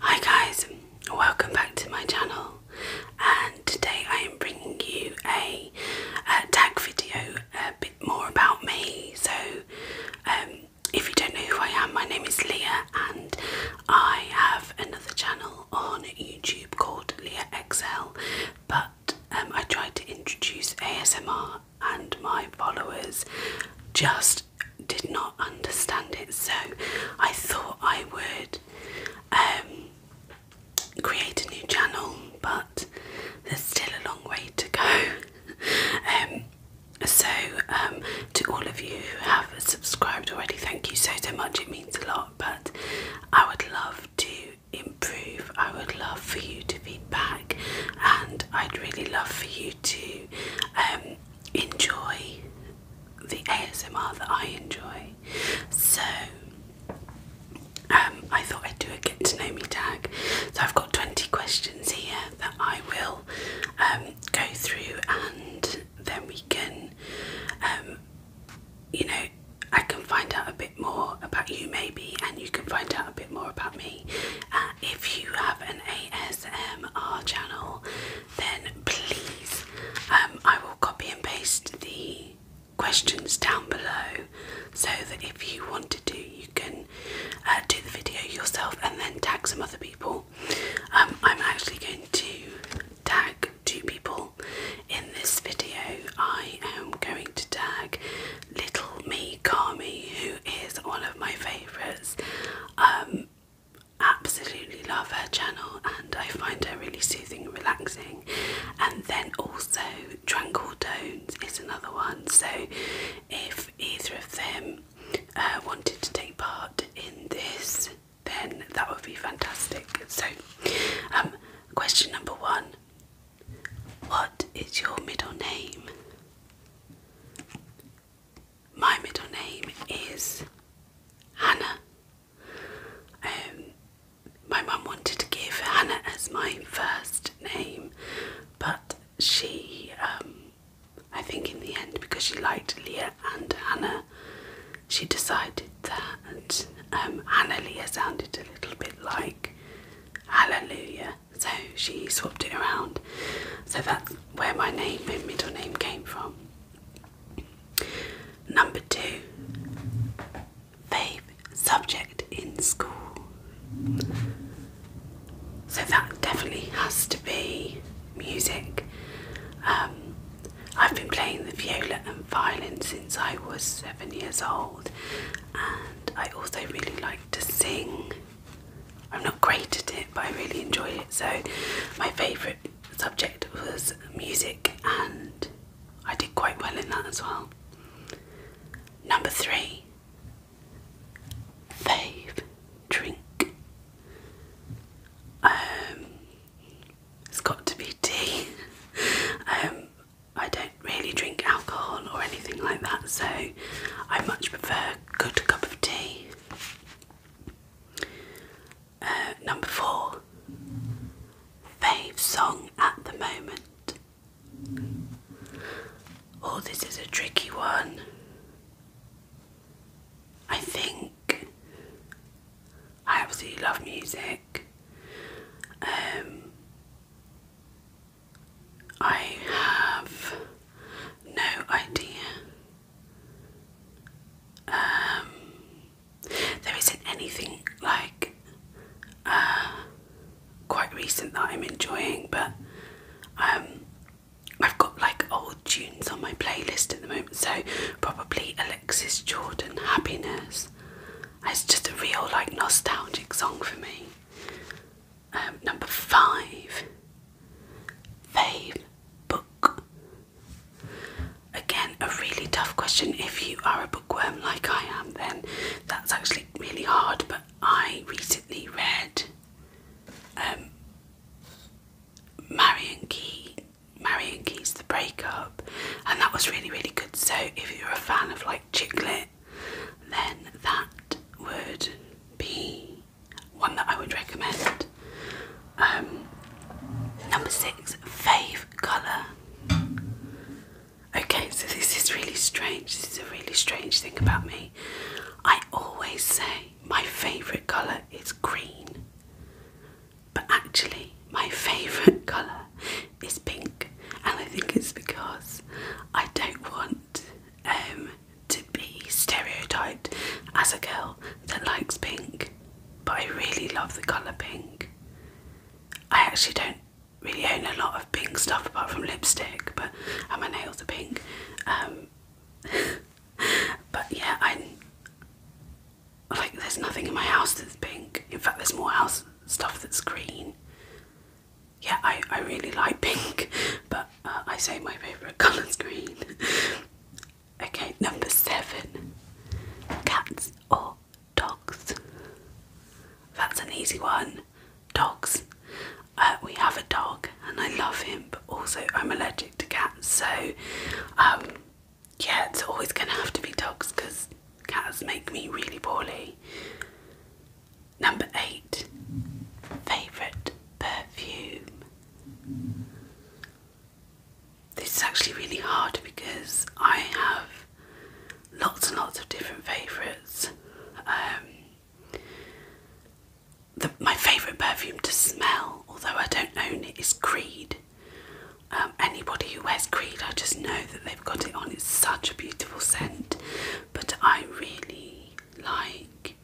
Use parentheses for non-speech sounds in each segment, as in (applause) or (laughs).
Hi guys, welcome back to my channel and today I am bringing you a, tag video a bit more about me so um, if you don't know who I am my name is Leah and I have another channel on YouTube called Leah XL but um, I tried to introduce ASMR and my followers just did not understand it. So I thought I would um, create a new channel, but there's still a long way to go. (laughs) Um, so, um, to all of you who have subscribed already, thank you so so much. It means a lot. But I would love to improve. I would love for you to be back, and I'd really love for you to um, enjoy the ASMR that I enjoy. So um, I thought I'd do a get to know me tag. So I've got 20 questions here that I will um, go through, and then we can, you know, I can find out a bit more about you maybe, and you can find out a bit more about me. Uh, if you have an ASMR ASMR channel, then please um, I will copy and paste the questions down below so that if you want to do, you can uh, do the video yourself and then tag some other people. Um, I'm actually going to tag two people in this video. I am going to tag Little Me Kami, who is one of my favorites. Um, absolutely love her channel and I find her really soothing and relaxing. And then also Tranquil Tones is another one. So if either of them uh, wanted to take part in this, then that would be fantastic. So um, question number one what is your middle name? my middle name is Hannah. Um, my mum wanted to give Hannah as my first name, but she, um, I think, in the end, because she liked Leah and Hannah, she decided that um, Hannah Leah sounded a little bit like Hallelujah, so she swapped it around. So that's where my name, and middle name, came from. Number two, fave subject in school. So that definitely has to be music. Um, I've been playing the viola and violin since I was seven years old, and I also really like to sing. I'm not great at it, but I really enjoy it. So, my favourite subject was music, and I did quite well in that as well. Number three, fave drink. Um, it's got to be tea. (laughs) um, I don't really drink alcohol or anything like that, so I much prefer a good cup of tea. Uh, number four, fave song at the moment. Oh, this is a tricky one. I think I absolutely love music. Um, I have no idea. Um, there isn't anything like uh, quite recent that I'm enjoying, but um, I've got like old tunes on my playlist at the moment, so probably Alexis Jordan Happiness. It's just a real like nostalgic song for me. Um, number five, fave book. Again, a really tough question. If you are a bookworm like I am, then that's actually really hard. But I recently read um, Marion Key, Marion Key's The Breakup, and that was really, really good. So if you're a fan of like white chiclet, then that would be one that I would recommend. Um, number six, fave colour. Okay, so this is really strange. This is a really strange thing about me. I always say my favourite colour is green, but actually, my favourite colour is pink, and I think it's because I don't want um, to be stereotyped as a girl that likes pink, but I really love the colour pink. I actually don't really own a lot of pink stuff apart from lipstick, but and my nails are pink. Um, (laughs) but yeah, I like. There's nothing in my house that's pink. In fact, there's more house stuff that's green yeah, I, I really like pink, (laughs) but uh, I say my favourite (laughs) colour is green. okay, number seven cats or dogs. That's an easy one. Dogs. Uh, we have a dog and I love him, but also I'm allergic to cats, so um, yeah, it's always going to have to be dogs because cats make me really poorly. Number eight, favourite perfume. This is actually really hard because I have lots and lots of different favourites. Um, my favourite perfume to smell, although I don't own it, is Creed. Um, anybody who wears Creed, I just know that they i have got it on. It's such a beautiful scent, but I really like.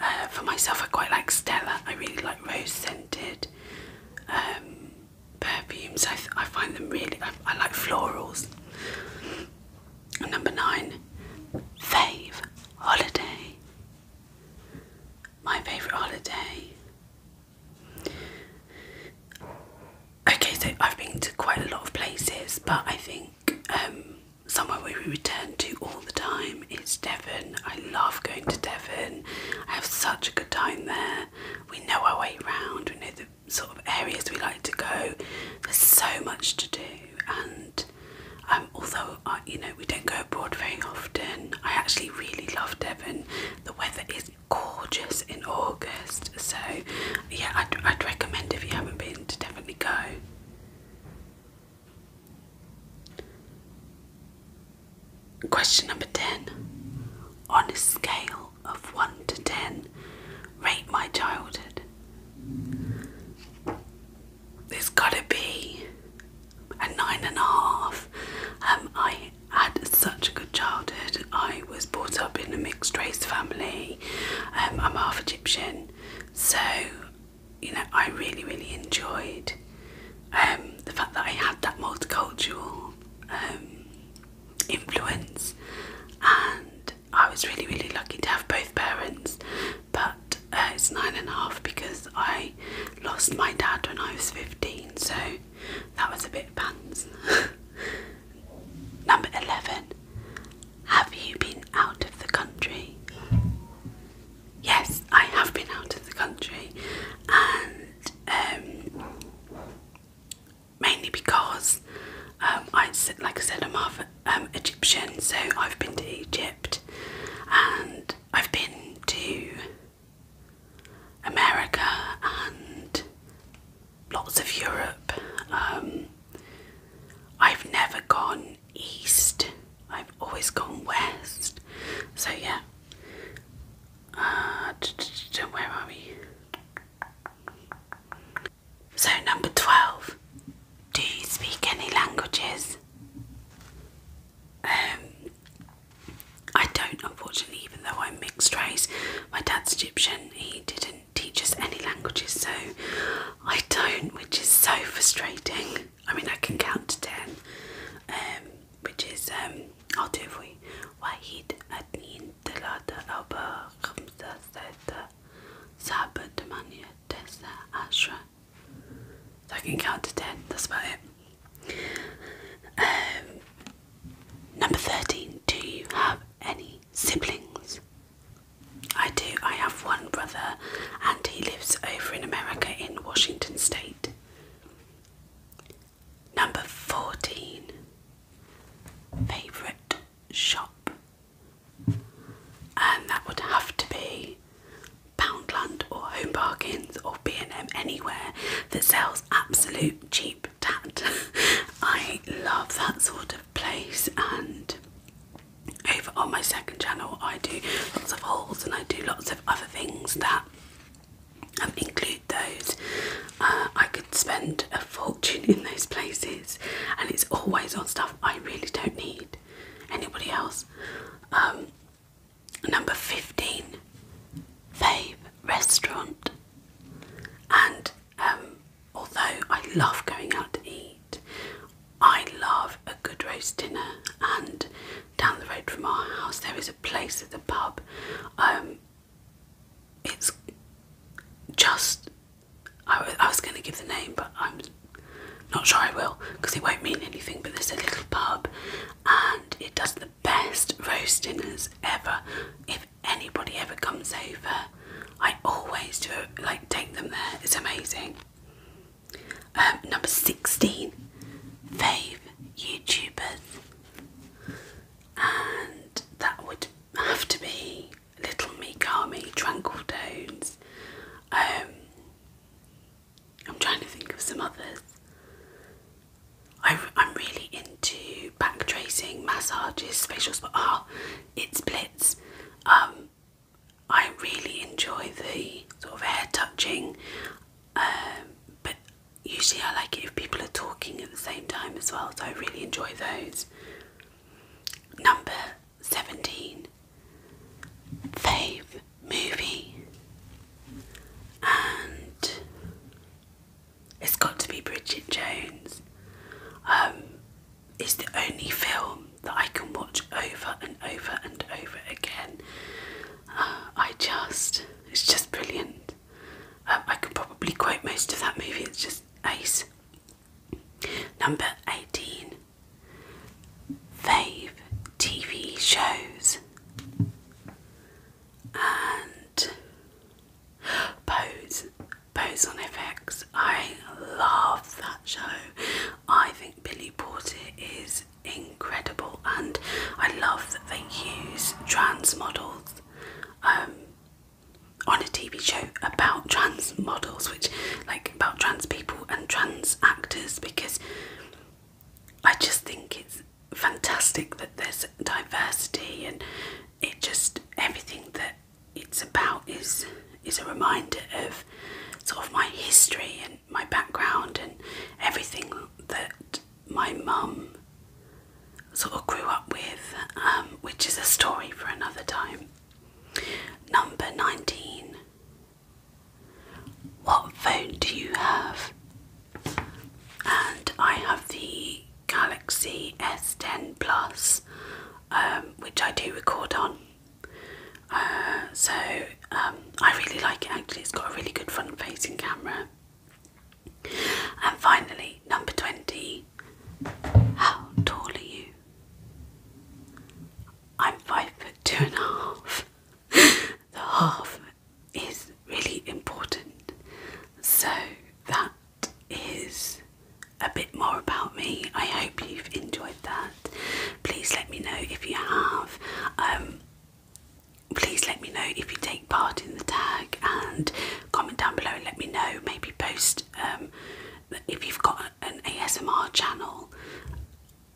Uh, for myself, I quite like Stella. I really like rose scented um, perfumes. I, I find them really. I, like florals. number nine, fave holiday. My favourite holiday. Okay, so I've been to quite a lot of places, but I think um, somewhere we return to all the time is Devon. I love going to Devon. I have such a good time there. We know our way around. We know the sort of areas we like to go. There's so much to do, and um, although uh, you know we don't go abroad very often, I actually really love Devon. The weather is gorgeous in August, so yeah, I'd, I'd recommend if you haven't been to definitely go. Question number 10. On a scale of 1 to 10, rate my childhood. There's gotta be a nine and a half. Um, I had such a good childhood. I was brought up in a mixed race family. Um, I'm half Egyptian, so you know I really really enjoyed um, the fact that I had that multicultural um, influence, and I was really really lucky to have both parents. But uh, it's nine and a half because I lost my dad when I was fifteen, so that was a bit of a pants. (laughs) Number 11. Have you been out of the country? Yes, I have been out of the country, and um, mainly because um, I, like I said, I'm half um, Egyptian, so I've been to Egypt, and I've been to America and lots of Europe. Um, I've never gone east, I've always gone west. So, yeah. Uh, where are we? So, number 12. Do you speak any languages? Um, I don't, unfortunately, even though I'm mixed race. My dad's Egyptian, he didn't doesn't teach us any languages, so I don't, which is so frustrating. I mean, I can count to ten, um, which is, um, I'll do it for you. Wahid, Adnin, Talata, Alba, Khamsa, Seta, Saba, Damania, Tessa, Ashra. So I can count to ten, that's about it. Um, number 13 do you have any siblings? I do. I have one brother, and he lives over in America in Washington State. Number 14. Favourite shop? And that would have to be Poundland or Home Bargains or B&M anywhere that sells absolute cheap tip (laughs) I love that sort of place and over on my second channel I do lots of hauls and I do lots of other things that um, include those. Uh, I could spend a fortune in those places and it's always on stuff I really don't need. Anybody else? Um, number 15 Fave Restaurant and um, although I love going out to eat, I love a good roast dinner. And down the road from our house, there is a place at the pub. Um, it's just I, was going to give the name, but I'm not sure I will because it won't mean anything. But there's a little pub, and it does the best roast dinners ever anybody ever comes over, I always do like take them there. It's amazing. Um, number 16, fave YouTubers, and that would have to be Little Mikami, Tranquil Tones. Um, I'm trying to think of some others. I, am really into back tracing, massages, facial spa. Ah, oh, it's Blitz. Um, I really enjoy the sort of hair touching, um, but usually I like it if people are talking at the same time as well, so I really enjoy those. Number 17 Fave Movie. And it's got to be Bridget Jones. Um, it's the only film that I can watch over and over and over again. I just, it's just brilliant. Um, I could probably quote most of that movie, it's just ace. Number 18 Fave TV shows. And Pose, Pose on FX. I love that show. I think Billy Porter is incredible, and I love that they use trans models um, on a TV show about trans models, which like about trans people and trans actors, because I just think it's fantastic that there's diversity and it just everything that it's about is is a reminder of sort of my history and my background and everything that my mum sort of grew up with, um, which is a story for another time. Number 19. What phone do you have? and I have the Galaxy S10 Plus, um, which I do record on. Uh, so um, I really like it actually, it's got a really good front facing camera. And finally, number 20. How tall are you? I'm five foot two and a half. (laughs) the half is really important. So that is a bit more about me. I hope you've enjoyed that. Please let me know if you have. Um, please let me know if you take part in the tag and comment down below and let me know. Maybe post um, if you've got an ASMR channel.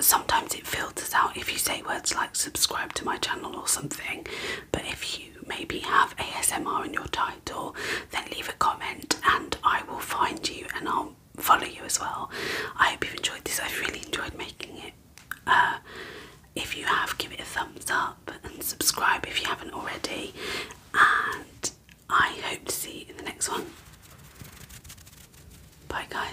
Sometimes it filters out if you say words like subscribe to my channel or something. But if you maybe have ASMR in your title, then leave a comment and I will find you and I'll follow you as well. I hope you've enjoyed this. I've really enjoyed making it. Uh, if you have, give it a thumbs up and subscribe if you haven't already. And I hope to see you in the next one. Bye, guys.